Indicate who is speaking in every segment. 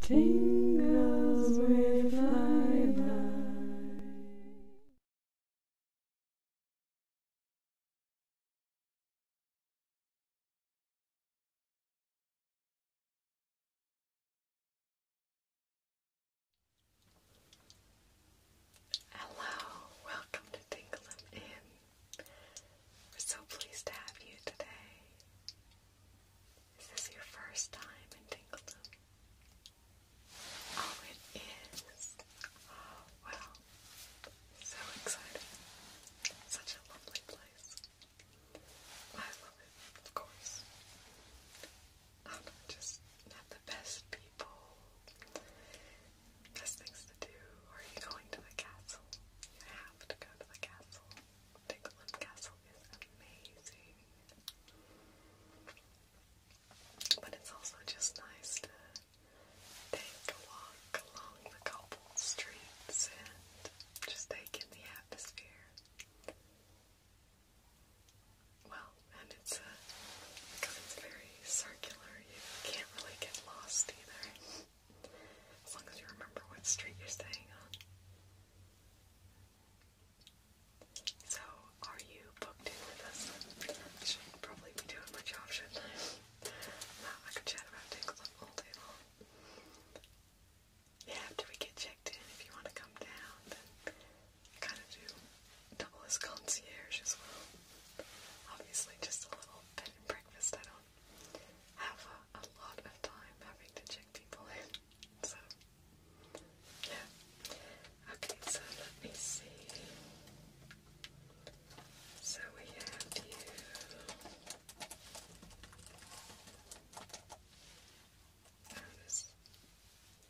Speaker 1: Tingles with fiber. Hello, welcome to Tingle Inn. We're so pleased to have you today. Is this your first time in Tingledom? Oh, it is. Oh, So exciting. Such a lovely place. I love it, of course. just not the best people. Best things to do. Are you going to the castle? You have to go to the castle. Piglet Castle is amazing. But it's also just nice to take a walk along the cobbled streets and just take in the atmosphere. Well, and it's a, because it's very circular, you can't really get lost either. As long as you remember what street you're staying on. So, are you booked in with us? I should probably be doing my job, shouldn't I? Now I could chat about Dixon all day long. Yeah, after we get checked in, if you want to come down, then kind of do double as concierge as well. Obviously, just a little bed and breakfast, I don't have a, a lot of time having to check people in. So, yeah. Okay, so let me see. So we have you.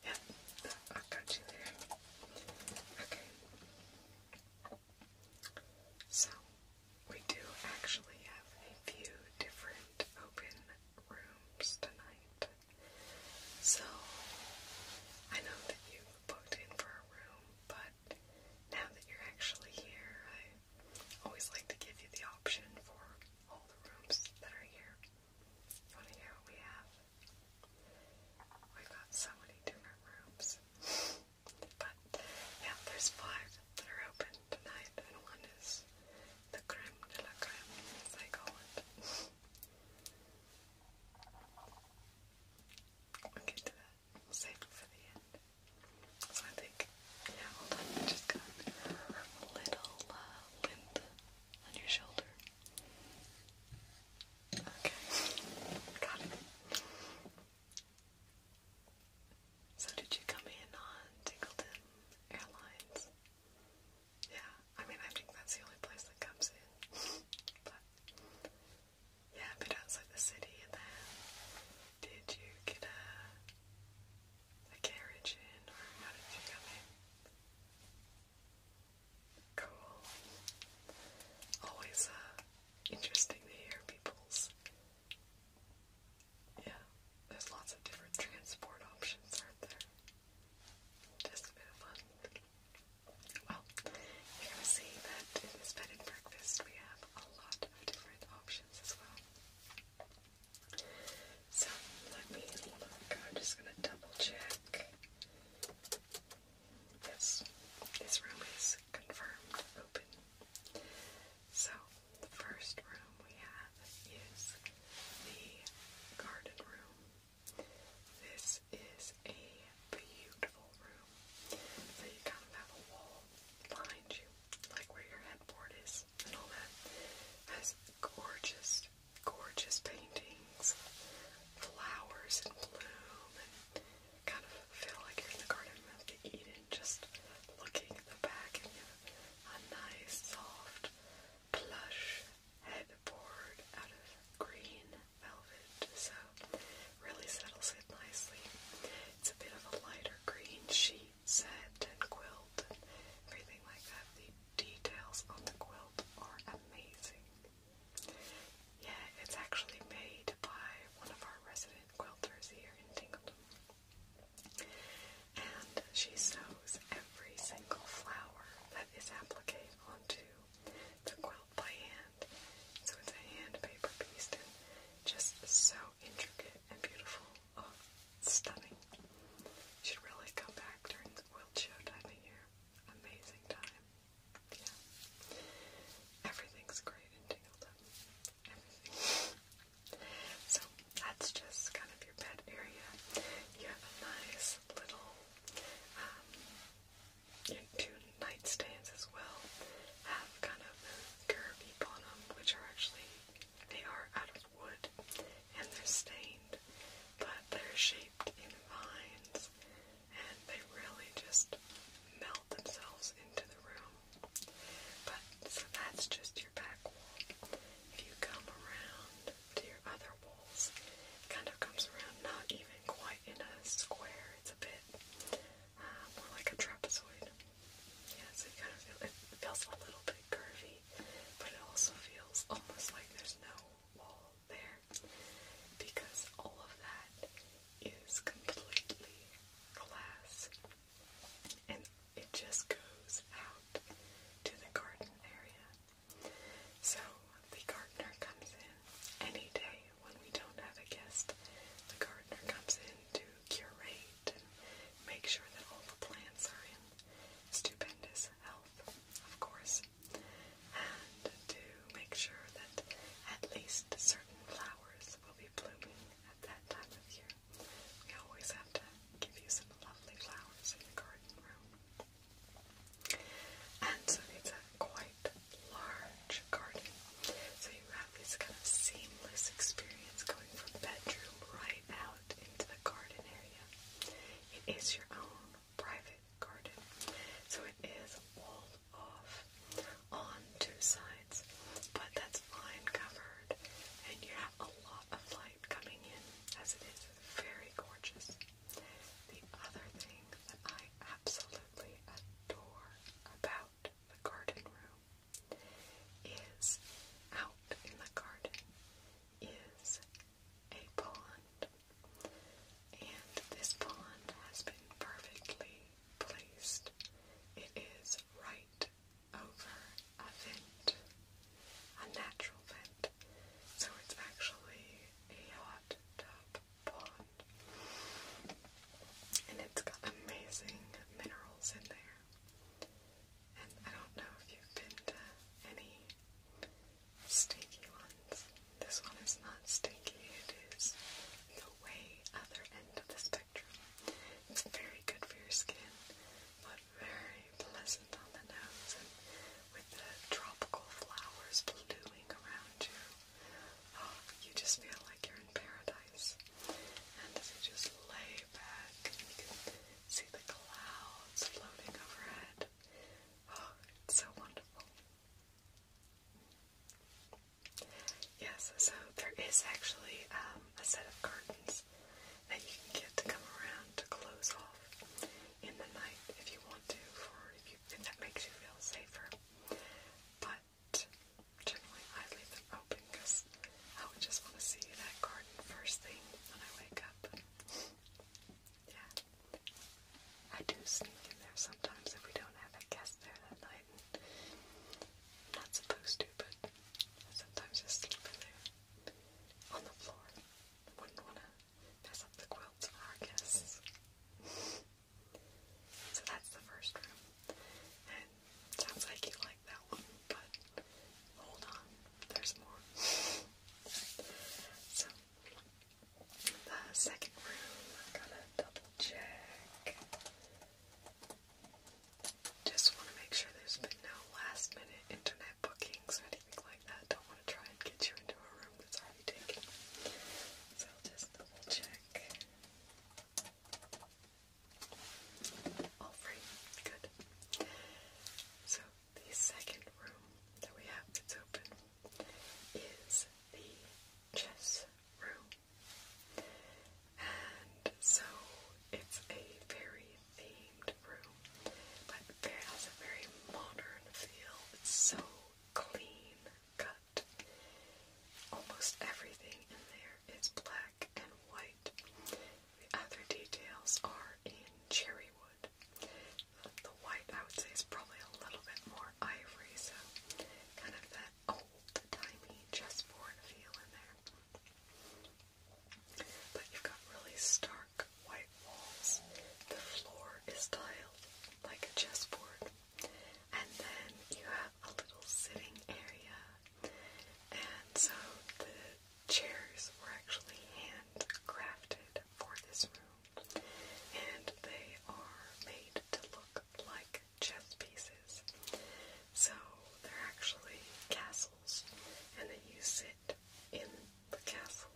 Speaker 1: Yep, I got you there. Okay. So, we do actually have a few different open rooms tonight. So I know that you booked in for a room, but now that you're actually here, I always like to give you the option for all the rooms that are here. You want to hear what we have? We've got so many different rooms. But yeah, there's five that are open Tonight, and one is the creme de la creme, as I call it. I'll get to that. We'll save it for the end. So I think, yeah, hold on, just got a little lint uh, on your shoulder. Okay, got it. So did you come in on Tinkleton Airlines? Yeah, I mean I think that's the only place that comes in. yeah, a outside the city and then did you get a carriage in or how did you come in? Cool. Always uh, interesting to hear people's yeah, there's lots of different transport options, aren't there? Just a bit of fun. Well, you're see that in this bed and breakfast we have a lot of different options as well. So let me I'm just gonna double check. Yes, this room is confirmed open. So the first room we have is the garden room. This is a beautiful room. So you kind of have a wall behind you, like where your headboard is and all that. It has gorgeous, gorgeous paintings, flowers in bloom, and kind of feel like you're in the Garden of Eden just looking at the back a nice soft plush headboard out of green velvet, so really settles it nicely. It's a bit of a lighter green sheet set and quilt and everything like that. The details on the quilt are amazing. Yeah, it's actually made by one of our resident quilters here in Tingleton. And she sews every single flower that is appliqued onto the quilt by hand. So it's a hand paper piece and just so intricate and beautiful. Oh, stunning. should really come back during the quilt show time of year. Amazing time. Yeah. Everything's great in Tingleton. So that's just kind of your bed area. You have a nice little um, your two nightstands as well have kind of a curvy bottom, which are actually they are out of wood and they're stained, but they're shaped in vines and they really just melt themselves into the room. But so that's just your back wall. If you come around to your other walls, it kind of comes around not even quite in a square. It's a bit uh, more like a trapezoid. Yeah, so you kind of feels a little bit curvy, but it also feels almost like there's no wall there because all of that is completely glass and it just goes out to the garden area. So the gardener comes in any day when we don't have a guest. The gardener comes in to curate and make sure that all the plants are in stupendous health, of course, and to make sure that at least certain flowers will be blooming at that time of year. We always have to give you some lovely flowers in your garden room. And so it's a quite large garden. So you have this kind of seamless experience going from bedroom right out into the garden area. It is your own private garden. So it is walled off on two sides, but that's vine covered and you have a a lot of light coming in as it is very gorgeous. The other thing that I absolutely adore about the garden room is out in the garden is a pond. And this pond has been perfectly placed. It is right over a vent, a natural vent. So it's actually a hot tub pond. And it's got amazing minerals in there. And I don't know if you've been to any stinky ones. This one is not stinky, it is the way other end of the spectrum. It's very good for your skin, but very pleasant on the nose, and with the tropical flowers blooming around you, ah, you just feel like you're in paradise. And as you just lay back, you can see the clouds floating overhead. Oh, it's so wonderful. Yes, so there is actually um, a set of curtains that you can get to come around to close off in the night if you want to, or if, you, if that makes you feel safer. But generally, I leave them open because I would just want to see that garden first thing when I wake up. yeah. I do sneak in there sometimes if we don't have a guest there that night. I'm not supposed to, but I sometimes just sleep in there on the floor. Wouldn't want to mess up the quilts for our guests. so that's the first room. sounds like you like that one, but hold on, there's more. so the second room, gotta double check. Just want to make sure there's been no last minute internet bookings or anything like that. Don't want to try and get you into a room that's already taken. So just double check. All free. Good. So the second room that we have that's open is the chess room. And so it's a very themed room, but it has a very modern feel. It's so clean cut. Almost everything in there is black and white. The other details are in cherry wood. The white, I would say, is probably a little bit more ivory, so kind of that old timey just chessboard feel in there. But you've got really stark white walls. The floor is tiled like a chessboard. And then you have a little sitting area. And so the chairs were actually handcrafted for this room. And they are made to look like chess pieces. So they're actually castles and then you sit in the castle.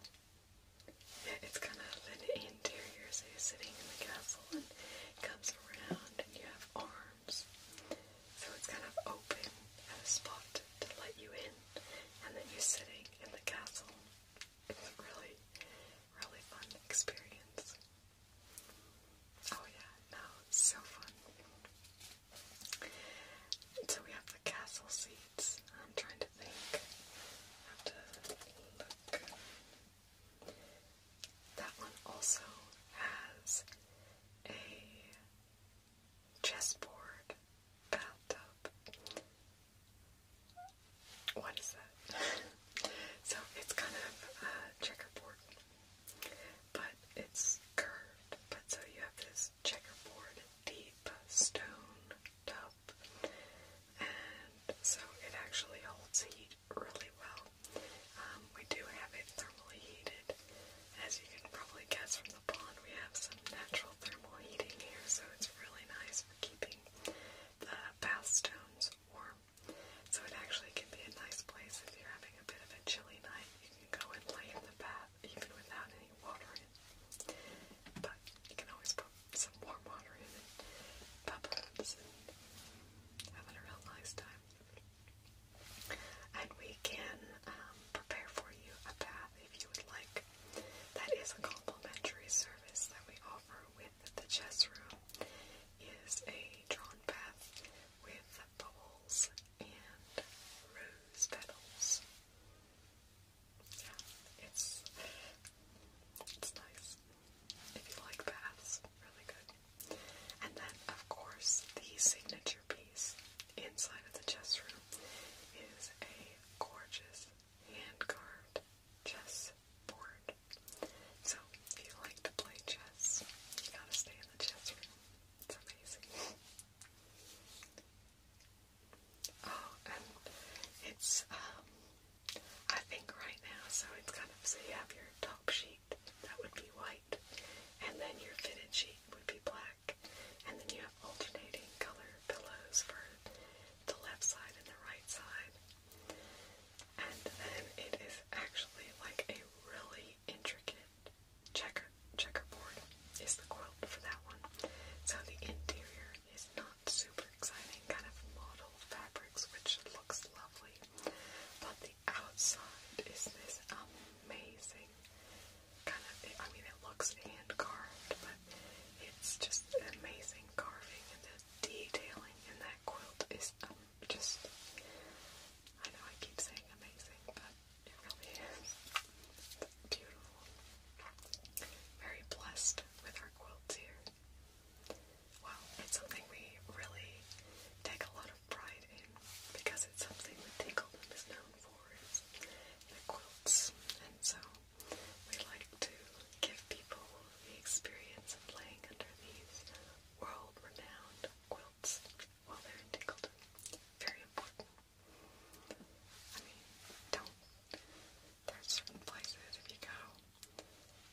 Speaker 1: it's kind of an interior, so you're sitting in the castle, and it comes around, and you have arms. So it's kind of open at a spot to let you in, and then you're sitting in the castle. It's a really, really fun experience. Oh yeah, no, it's so fun. So we have the castle seats. I'm trying to think. have to look. That one also has a chessboard bathtub. What is that? so it's kind of a checkerboard but it's curved. But so you have this checkerboard deep stone tub, and so it actually holds heat really well. Um, we do have it thermally heated. As you can probably guess from the pond, we have some natural thermal heating here, so it's really nice for keeping the bath stones warm. So it actually can be a nice place if you're having a bit of a chilly night. You can go and lay in the bath bath even without any water in But you can always put some warm water in it, bubbles, having a real nice time. And we can um, prepare for you a bath if you would like. That is a complimentary service that we offer with the chess room is a drawn bath with bubbles and rose petals. Yeah, it's it's nice. If you like baths, really good. And then of course the signature piece inside of the chess room is a gorgeous hand-carved chess board. So if you like to play chess, you gotta stay in the chess room. It's amazing. Oh, and it's, um, I think right now, so it's kind of, so you have your top sheet, that would be white, and then your fitted sheet would be black, and then you have alternating color pillows for the left side and the right side. And then it is actually like a really intricate checker checkerboard is the quilt for that one. So the interior is not super exciting, kind of model fabrics, which looks lovely. But the outside is this amazing kind of. I mean, it looks hand carved, but it's just amazing carving and the detailing in that quilt is um, just. I know I keep saying amazing, but it really is. beautiful. Very blessed with our quilts here. Well, it's something we really take a lot of pride in because it's something that Tinkleton is known for the quilts. And so we like to give people the experience of laying under these world-renowned quilts while they're in Tinkleton. Very important. I mean, don't. There's certain places if you go.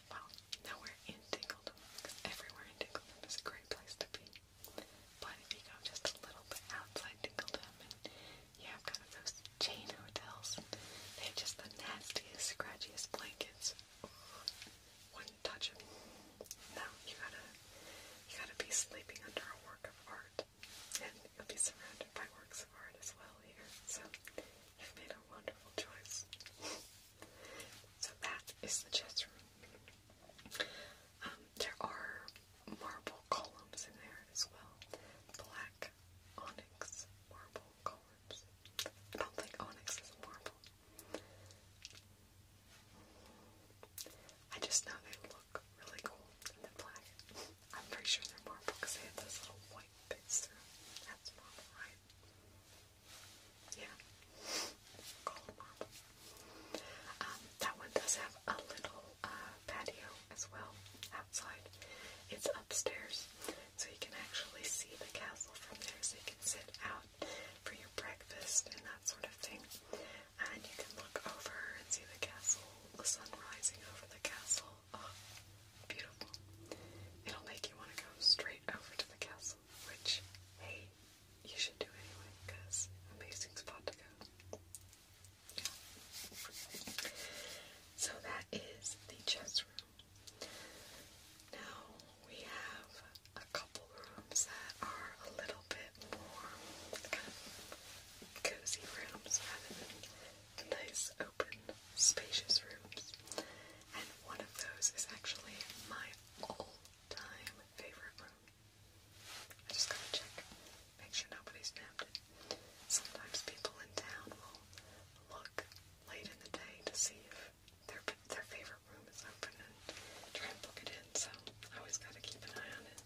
Speaker 1: Well, nowhere in Dingledom, everywhere in Dingledom is a great place to be. But if you go just a little bit outside Dingledom, you have kind of those chain hotels, they have just the nastiest, scratchiest blankets. Wouldn't touch them. No, you gotta, you gotta be sleeping under a work of art, and you'll be surrounded by works of art as well here. So you've made a wonderful choice. so that is the chess room. Um, there are marble columns in there as well, black onyx marble columns. I don't think onyx is marble. I just know they look look really cool in the black. I'm pretty sure they're marble because they have this little white bits through. That's marble, right? Yeah. Gold marble. Um, that one does have a little uh, patio as well outside. It's upstairs, so you can actually see the castle from there, so you can sit out for your breakfast and that sort of thing and you can look over and see the castle, the sun rising over the castle. Oh, beautiful. It'll make you want to go straight over to the castle, which, hey, you should do anyway, because amazing spot to go. So that is the chess room. Now we have a couple rooms that are a little little bit more kind of cozy rooms rather than the nice, open, spacious rooms. And one of those is actually my all-time favorite room. I just gotta check, make sure nobody's nabbed it. Sometimes people in town will look late in the day to see if their their favorite room is open and try and book it in. So I always gotta keep an eye on it.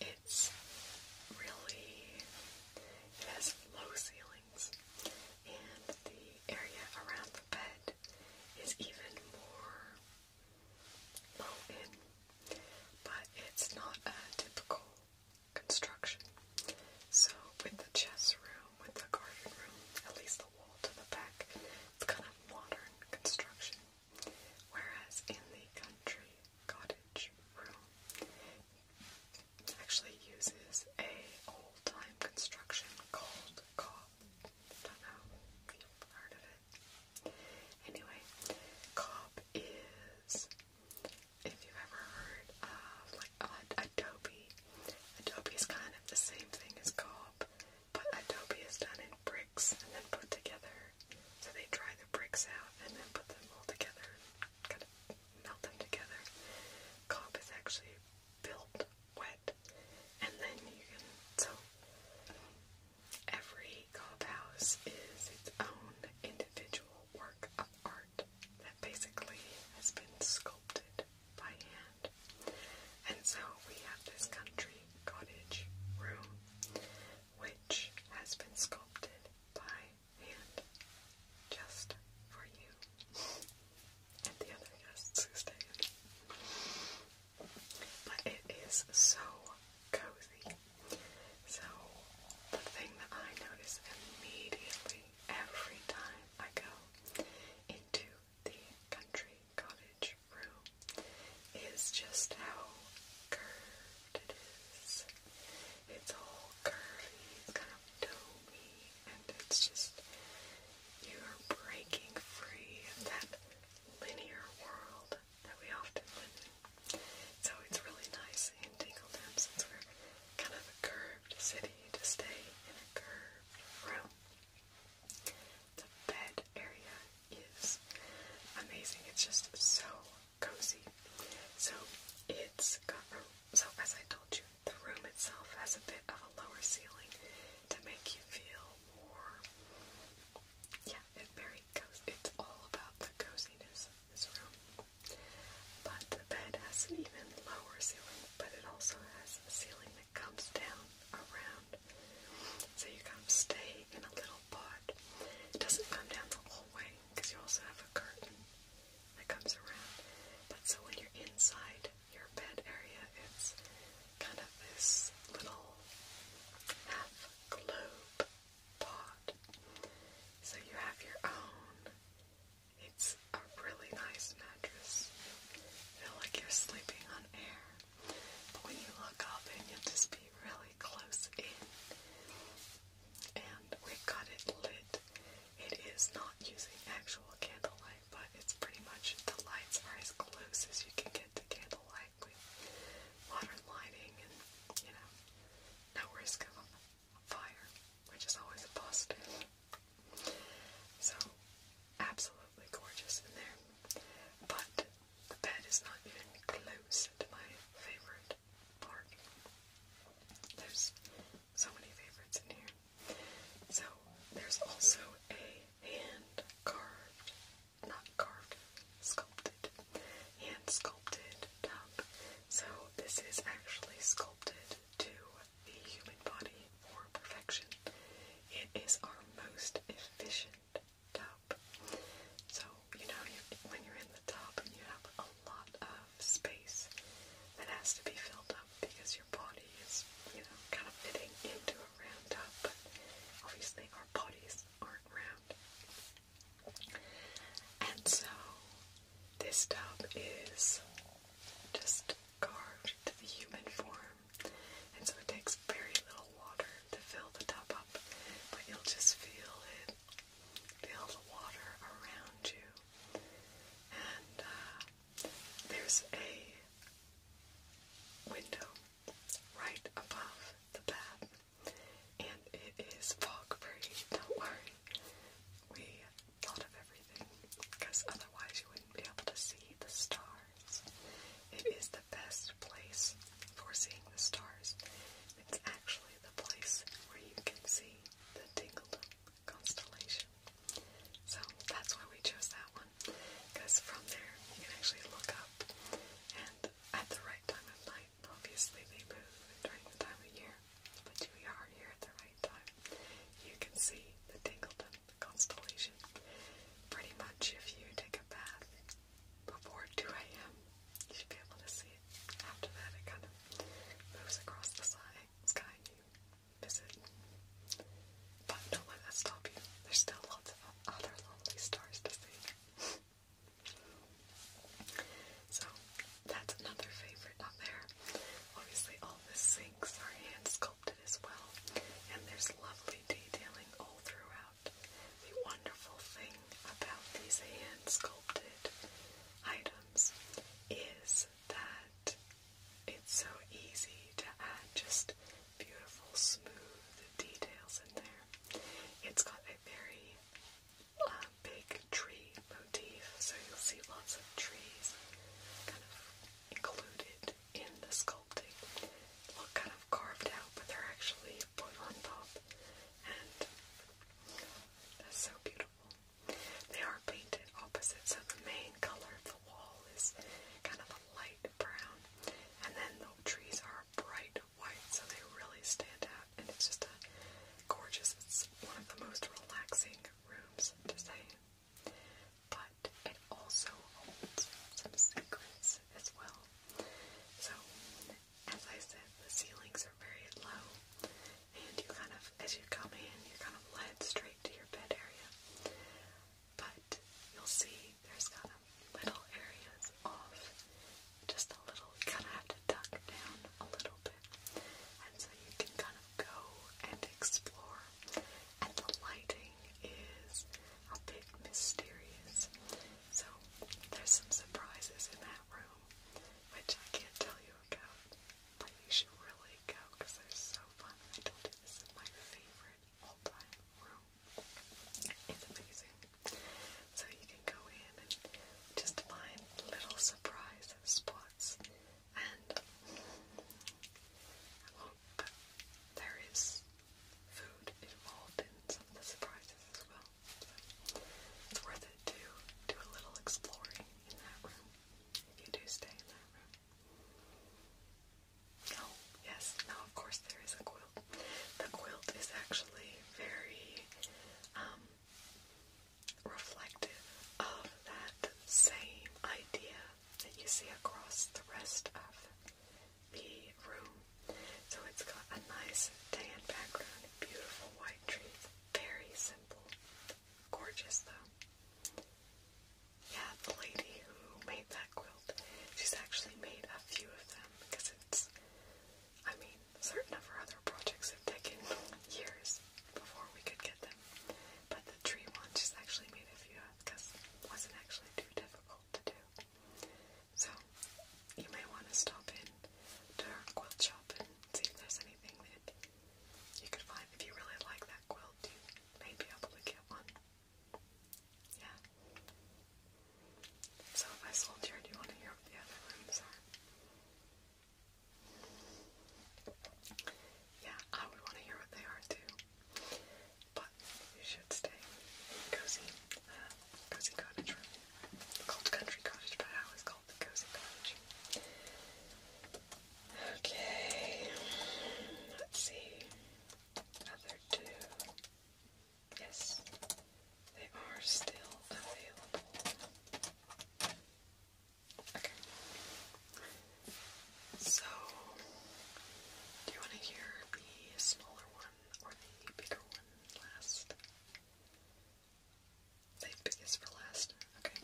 Speaker 1: It's really, it has low ceilings, and the area around the bed is even more low in, but it's not a typical construction. So, with the chess room, with the garden room, at least the wall to the back, it's kind of modern construction. Whereas in the country cottage room, actually uses a old-time construction called cob. Don't know if you've heard of it. Anyway, cob is if you've ever heard of like Adobe. Adobe is kind of the same thing as cob. But adobe is done in bricks and then put together. So they dry the bricks out and then put them all together and kind of melt them together. Comp is actually built wet and then you can, so every comp house is its own individual work of art that basically has been sculpted by hand. And so we have this country cottage room, which has been sculpted by hand just for you and the other guests who stayed. But it is so cozy. So the thing that I notice immediately every time I go into the country cottage room is just how curved it is. It's all curvy, kind of domy, and it's just you are breaking free of that linear world that we often live in. So it's really nice and tangled up since we're kind of a curved city to stay in a curved room. The bed area is amazing. It's just so cozy. So it's got a, so as I told you, the room itself has a bit of a lower ceiling to make you feel more. Yeah, very cozy. It's all about the coziness of this room. But the bed has an even lower ceiling, but it also has a ceiling comes down around. So you kind of stay in a little pot. It doesn't come down the whole way because you also have a curtain that comes around. But so when you're inside your bed area, it's kind of this little half globe pot. So you have your own. It's a really nice mattress. Feel like you're sleeping on air. But when you look up and you'll just be really close in. And we've got it lit. It is not using actual candlelight, but it's pretty much the lights are as close as you can get to candlelight with modern lighting and, you know, no risk of fire, which is always a positive. So absolutely gorgeous in there. But the bed is not even close to my favorite part. There's so many favorites in here. So there's also a hand carved, not carved, sculpted, hand sculpted tub. So this is actually sculpted to the human body for perfection. It is our most efficient top. So, you know, you, when you're in the tub, you have a lot of space that has to be filled up because your body is, you know, kind of fitting into a round top. but obviously our bodies aren't round. And so, this top is just carved to the human form and so it takes very little water to fill the tub up, but you'll just feel it, feel the water around you. And uh, there's a window right above the bath, and it is fog free. Don't worry, we thought of everything because otherwise you wouldn't be able to see the stars. It is the best place for seeing the stars. It's actually the place where you can see the Dingled constellation. So that's why we chose that one, because from there you can actually look up, and at the right time of night, obviously they move during the time of year, but we are here at the right time. You can see the Dingleton constellation. Pretty much if you take a bath before 2 a.m. You should be able to see it. After that, it kind of moves across the sky, sky you miss it. But don't let stop you. There's still lots of other lovely stars to see. so, that's another favorite up there. Obviously, all the sinks are hand sculpted as well, and there's lovely detailing all throughout the wonderful thing about these hand sculpted items is that it's so easy to add just beautiful, smooth details in there. It's got a very uh, big tree motif, so you'll see lots of trees kind of included in the sculpting look kind of carved out, but they're actually put on top, and that's so beautiful. They are painted opposite, so the main color of the wall is kind of a light brown, and then the trees are bright white, so they really stand out, and it's just a gorgeous, it's one of the most relaxing rooms to stay But it also holds some secrets as well. So, as I said, the ceilings are very low, and you kind of, as you come in, you're kind of led straight to your bed area. But you'll see there's kind of little areas off, just a little, you kind of have to duck down a little bit. And so you can kind of go and explore. And the lighting is a bit mysterious. So there's some surprises in that room, which I can't tell you about, but you should really go because they're so fun. I told you this is my favorite all-time room. It's amazing. So you can go in and just find little surprise spots, and there is food involved in some of the surprises as well. So it's worth it to do a little exploring in that room if you do stay in that room. Oh, yes, now of course there is a quilt. The quilt is actually very um, reflective of that same idea that you see across the rest of the room. So it's got a nice tan background, beautiful white trees. Very simple. Gorgeous though. Yeah, the lady who made that quilt, she's actually made a few of them because it's, I mean, certain of her other projects have taken years before we could get them. But the tree one, she's actually made a few of because it wasn't actually too difficult to do. So you may want to stop in to her quilt shop and see if there's anything that you could find. If you really like that quilt, you may be able to get one. Yeah. So if I sold yours, do you want to hear what the other rooms are? Yeah, I would want to hear what they are too but you should stay cozy, uh, cozy cottage room. Called country cottage, but I always called cozy cottage. Okay, let's see. Other two. Yes, they are still available. Okay. So, do you want to hear the smaller or the bigger one last? the biggest for last. Okay.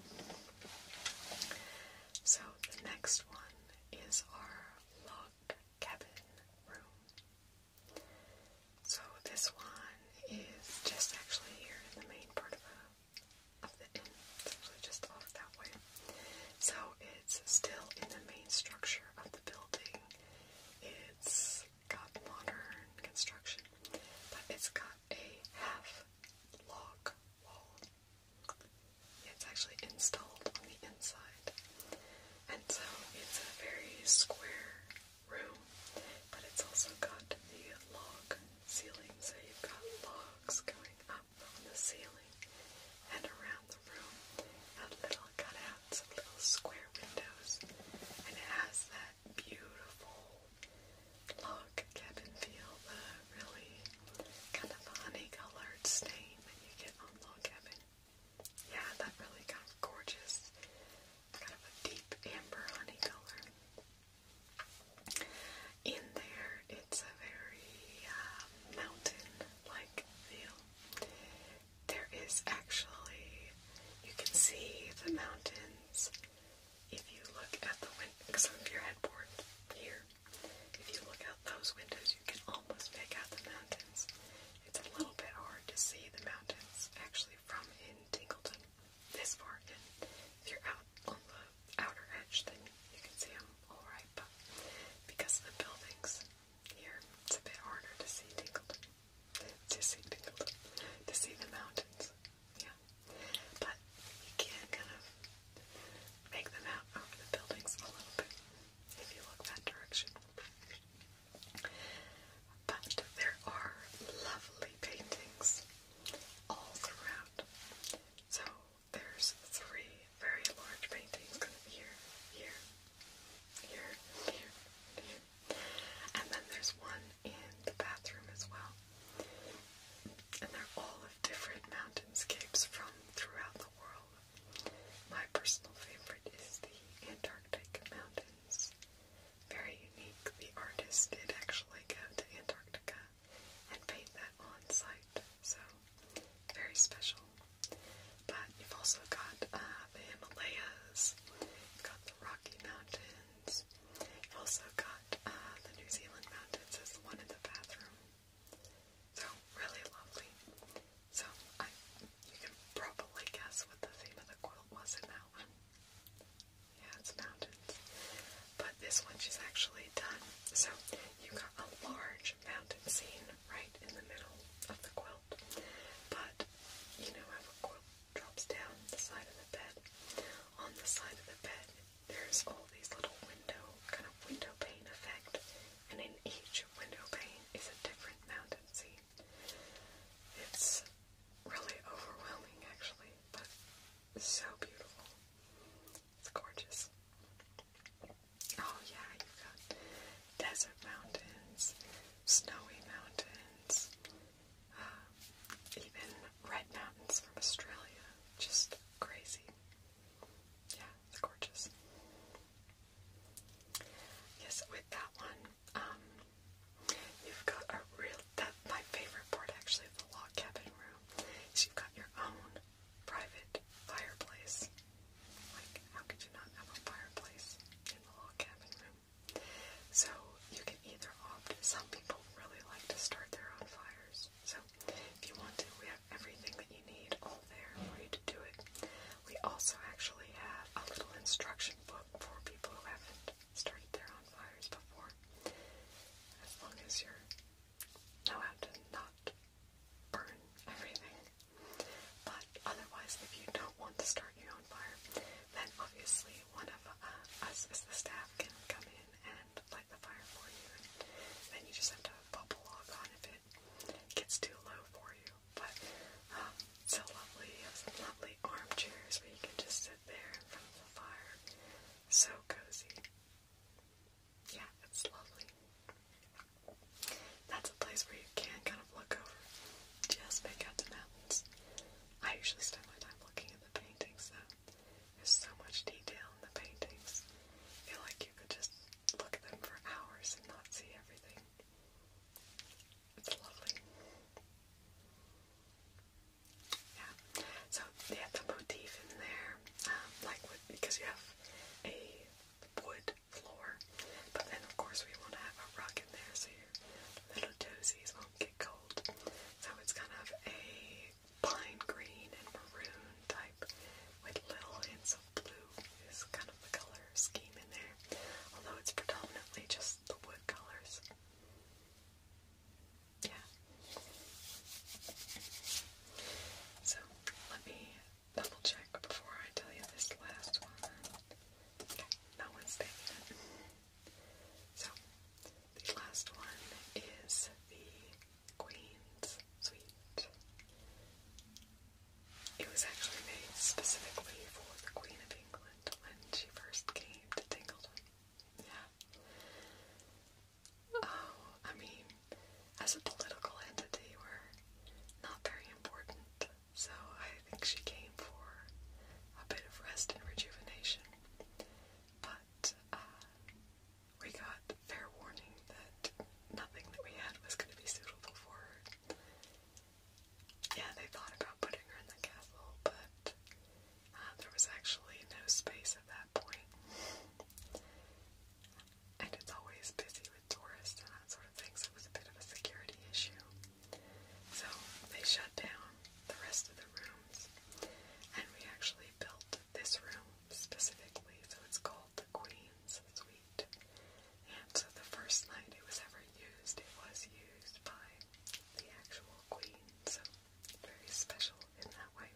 Speaker 1: So the next one is our log cabin room. So this one is just actually here in the main part of the of the inn. It's actually just off that way. So it's still in the main structure of the building. It's got modern construction, but it's got a half log wall. It's actually installed on the inside. And so it's a very square room, but it's also got the log ceiling, so you've got logs going up on the ceiling and around the room a little cutouts of little square windows, and it has that beautiful log cabin feel, the really kind of honey-colored stain that you get on log cabin. Yeah, that really kind of gorgeous, kind of a deep amber honey color. In there, it's a very uh, mountain-like feel. There is actually, you can see the mountains if you look at the window, because your headboard here. If you look out those windows, you can almost make out the mountains. It's a little bit hard to see the mountains actually from in Tingleton this far in. If you're out on the outer edge, then you can see them all right, but because of the buildings, here, it's a bit harder to see tingled. To see tingled. To see the mountains. Yeah. But you can kind of make them out over the buildings a little bit if you look that direction. But there are lovely paintings all throughout. So there's three very large paintings kind here, here, here, here, And then there's one in the bathroom as well. And they're all of different mountainscapes from throughout the world. My personal favorite is the Antarctic Mountains. Very unique. The artist did actually go to Antarctica and paint that on site, so very special. But you've also got uh, the Himalayas, you've got the Rocky Mountains, you've also got uh, the New Zealand Mountains as one in the bathroom. So, really lovely. So, I, you can probably guess what the theme of the quilt was in that one. Yeah, it's mountains. But this one she's actually done. So, you've got a large mountain scene right in the middle of the quilt. But you know how quilt drops down the side of the bed. On the side of the bed, there's all these little window, kind of window pane effect, and in each window pane is a different mountain scene. It's really overwhelming, actually, but so beautiful. It's gorgeous. Oh yeah, you've got desert mountains, snowy mountains, uh, even red mountains from Australia. Just crazy. Yeah, it's gorgeous. Yes, with that one, um, you've got a real, that, my favorite part actually of the log cabin room is you've got your own private fireplace. Like, how could you not have a fireplace in the log cabin room? So you can either opt, some people really like to start their own fires. So if you want to, we have everything that you need all there for you to do it. We also actually have a little instruction book for people who haven't started their own fires before. As long as you know how to not burn everything. But otherwise, if you don't want to start your own fire, then obviously one of uh, us as the staff can come in and light the fire for you. And then you just have to pop a log on if it gets too low for you. But um, it's so lovely. You have some lovely armchairs where you can just sit there in front of the fire. So cozy. Yeah, it's lovely. That's a place where you can kind of look over, just make out the mountains. I usually spend my time looking at the paintings There's so much detail in the paintings. I feel like you could just look at them for hours and not see everything. It's lovely. Yeah. So they have the motif in there, um, like with, because you have a wood floor. But then, of course, we want to have a rug in there so your little toesies won't get cold. So it's kind of a pine green and maroon type with little hints of blue is kind of the color scheme in there. Although it's predominantly just the wood colors. Yeah. So let me double check before I tell you this last one. that one's taken. So, the last one is the Queen's Suite. It was actually made specifically for the Queen of England when she first came to Tingleton. Yeah. Oh, I mean, as a political entity, we're not very important so I think she came for a bit of rest and rejuvenation. But uh, we got fair warning that nothing that we had was going to be suitable for her. Yeah, they thought about putting her in the castle, but uh, there was actually no space at that point. And it's always busy with tourists and that sort of thing, so it was a bit of a security issue. So they shut down the rest of the rooms, and we actually built this room specifically, so it's called the Queen's Suite. And so the first night it was ever used, it was used by the actual Queen, so very special in that way.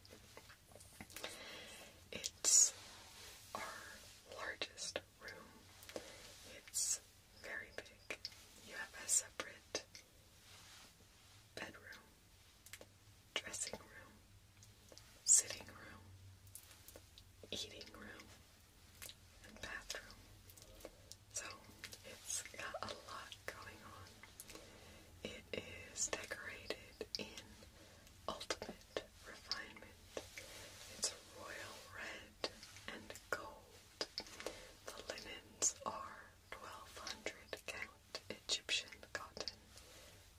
Speaker 1: It's our largest room. It's very big. You have a separate bedroom, dressing room, sitting room, eating room, and bathroom. So it's got a lot going on. It is decorated in ultimate refinement. It's royal red and gold. The linens are 1200 count Egyptian cotton,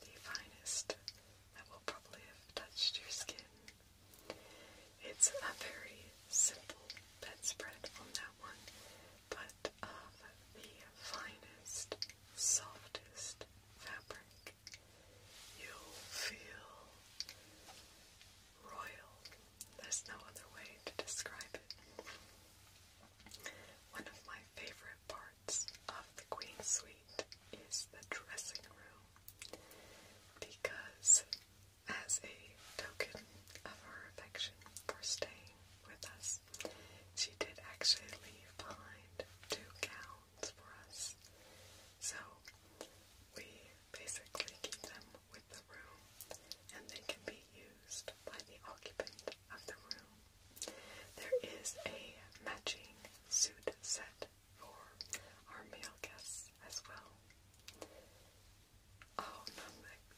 Speaker 1: the finest that will probably have touched your skin. It's a very simple bedspread on that one, but of the finest, softest fabric. You'll feel royal. There's no other way to describe it. One of my favorite parts of the Queen's Suite is the dressing room because, as a token of her affection for staying with us, she did actually leave behind two gowns for us. So we basically keep them with the room and they can be used by the occupant of the room. There is a matching suit set for our male guests as well. Oh,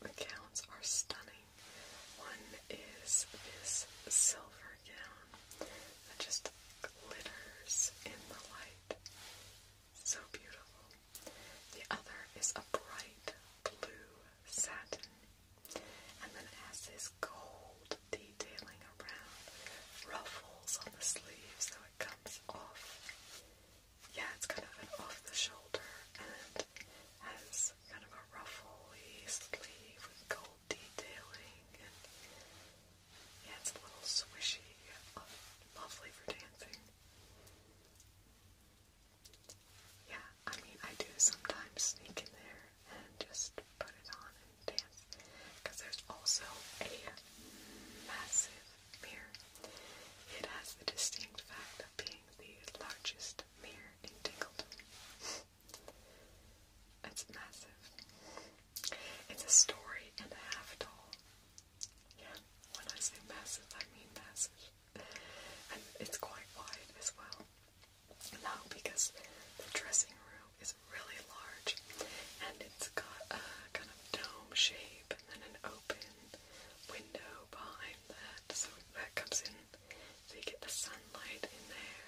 Speaker 1: the gowns are stunning. One is this silver gown that just glitters in the light. So beautiful. The other is a bright blue satin. And then it has this gold detailing around ruffles on the sleeves. so it comes off. Yeah, it's kind of an off the shoulder and has kind of a ruffly sleeve with gold detailing yeah, it's a little swishy, uh, lovely for dancing. Yeah, I mean, I do sometimes sneak in there and just put it on and dance. Because there's also a massive mirror. It has the distinct fact of being the largest mirror in Tingleton. It's massive. It's a story and a half tall, yeah, when I say massive, I mean massive. And it's quite wide as well. Now, because the dressing room is really large and it's got a kind of dome shape and then an open window behind that, so that comes in, so you get the sunlight in there.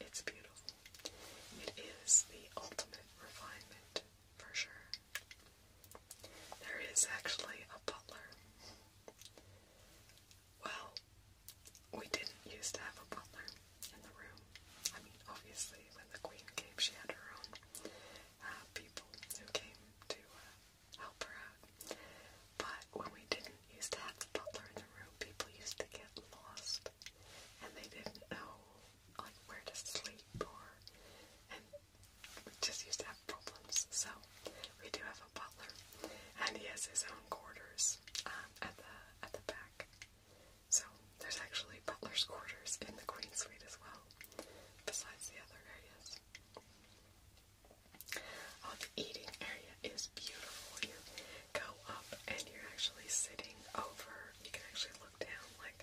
Speaker 1: It's beautiful. It is the ultimate refinement for sure. There is actually a butler. Well, we didn't used to have a butler in the room. I mean, obviously, when the queen came, she had her own uh, people who came to uh, help her out. But when we didn't used to have the butler in the room, people used to get lost, and they didn't know like where to sleep or and we just used to have problems. So we do have a butler and he has his own quarters um, at the at the back. So there's actually butler's quarters in the Queen Suite as well, besides the other areas. Oh, the eating area is beautiful. You go up and you're actually sitting over. You can actually look down, like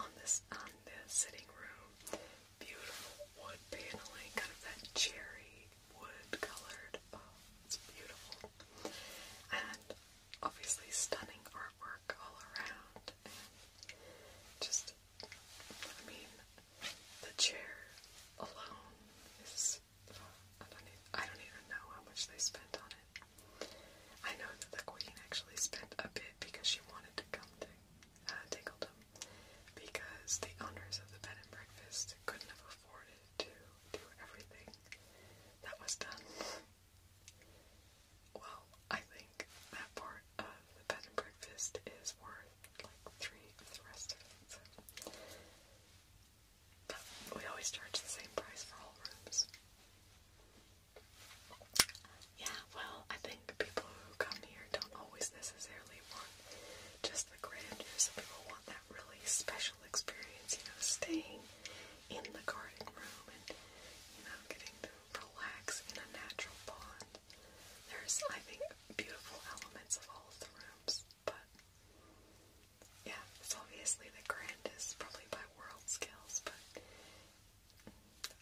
Speaker 1: on this is um, on the sitting room. Beautiful wood paneling, kind of that cherry wood colored. Oh, it's beautiful. And obviously stunning artwork all around. just, I mean, the chair alone is, I don't even know how much they spent on it. I know that the queen actually spent a bit because she wanted to come to uh, because the owners of the bed and breakfast couldn't have afforded to do everything that was done. Well, I think that part of the bed and breakfast is worth like three of the rest of it. we always charge the same price for all rooms. Yeah, well, I think people who come here don't always necessarily want just the grandeur. Some people want that really special experience, you know, staying in the garden room and, you know, getting to relax in a natural pond. There's, I think, beautiful elements of all of the rooms, but yeah, it's obviously the grandest, probably by world scales, but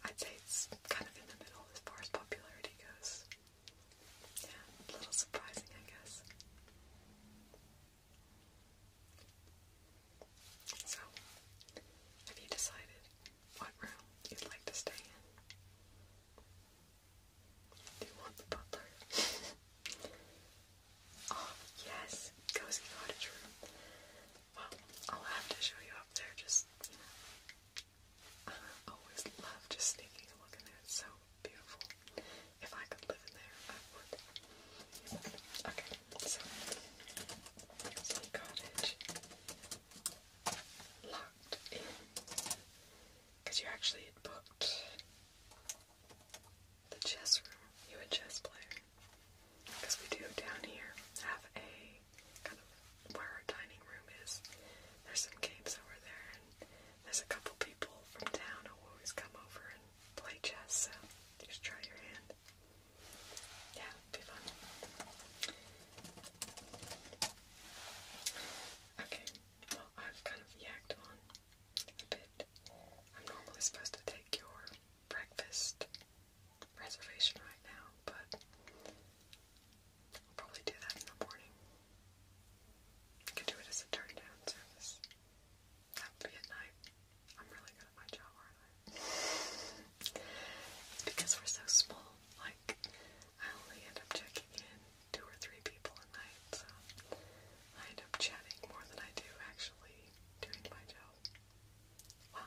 Speaker 1: I'd say it's kind of in the middle as far as popularity goes. Yeah, a little surprising, I guess. So, have you decided what room you'd like to stay in? Do you want the butler? oh, yes, cozy cottage room. Well, I'll have to show you up there. Just, always love just sneaking a look in there. It's so beautiful. If I could live in there, I would. Okay, so some cottage locked in because you actually booked the chess room. You a chess player because we do down here have a kind of where our dining room is. There's some games over there, and there's a couple people from town who always come over and play chess. So just try your hand. Yeah, be fun. Okay, well I've kind of yacked on a bit. I'm normally supposed to take your breakfast reservation right now, but I'll probably do that in the morning. I could do it as a turn down service. That would be at night. I'm really good at my job, aren't I? because we're so small. Like, I only end up checking in two or three people a night, so I end up chatting more than I do actually doing my job. Well,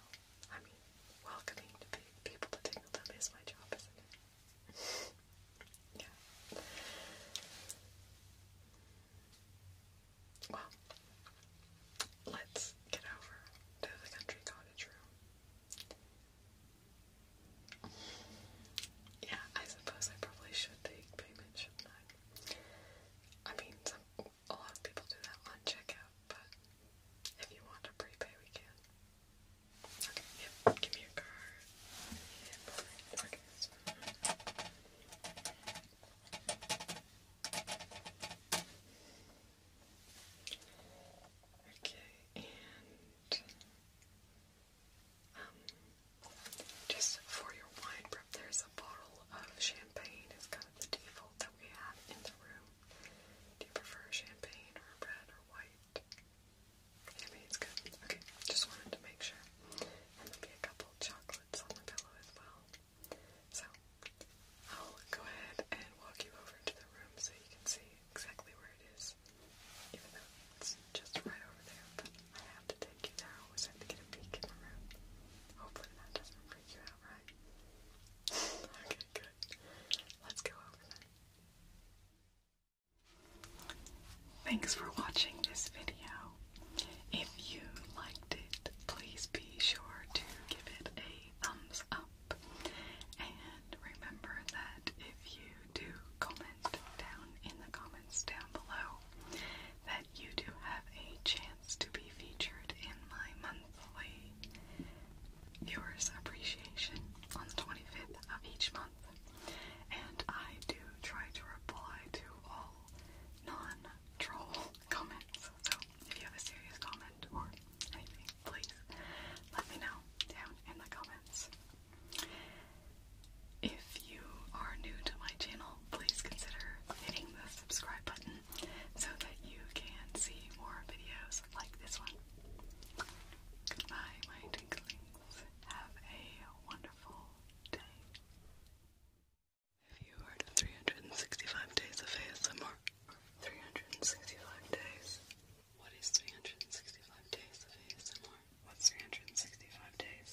Speaker 1: I mean, welcoming to people to Tingletop is my job, isn't it? yeah. Well, let's get over to the country cottage room. Yeah, I suppose I probably should take payment, shouldn't I? I mean, some, a lot of people do that on checkout, but if you want to prepay, we can. Okay, yep, give me your card. Okay, and um, just for your wine prep, there's a bottle of champagne. It's kind of the default that we have in the room. Do you prefer champagne or red or white? Champagne's good. Okay, just wanted to make sure. And there a couple chocolates on the pillow as well. So, I'll go ahead and walk you over to the room so you can see exactly where it is. Even though it's just right over there, but I have to take you there. I always have to get a peek in the room. Hopefully that doesn't freak you out, Okay, good. Let's go over them. Thanks for watching this video. If you liked it, please be sure to give it a thumbs up. And remember that if you do comment down in the comments down below, that you do have a chance to be featured in my month employee viewers appreciation on the 25th of each month. And I do try to reply to all non-troll comments. So if you have a serious comment or anything, please let me know down in the comments. If you are new to my channel, please consider hitting the subscribe button so that you can see more videos like this one. Goodbye, my twinklings. Have a wonderful day. If you heard 365 days of ASMR, 365 days. What is 365 days of ASMR? What's 365 days?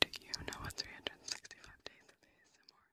Speaker 1: Do you know what 365 days of ASMR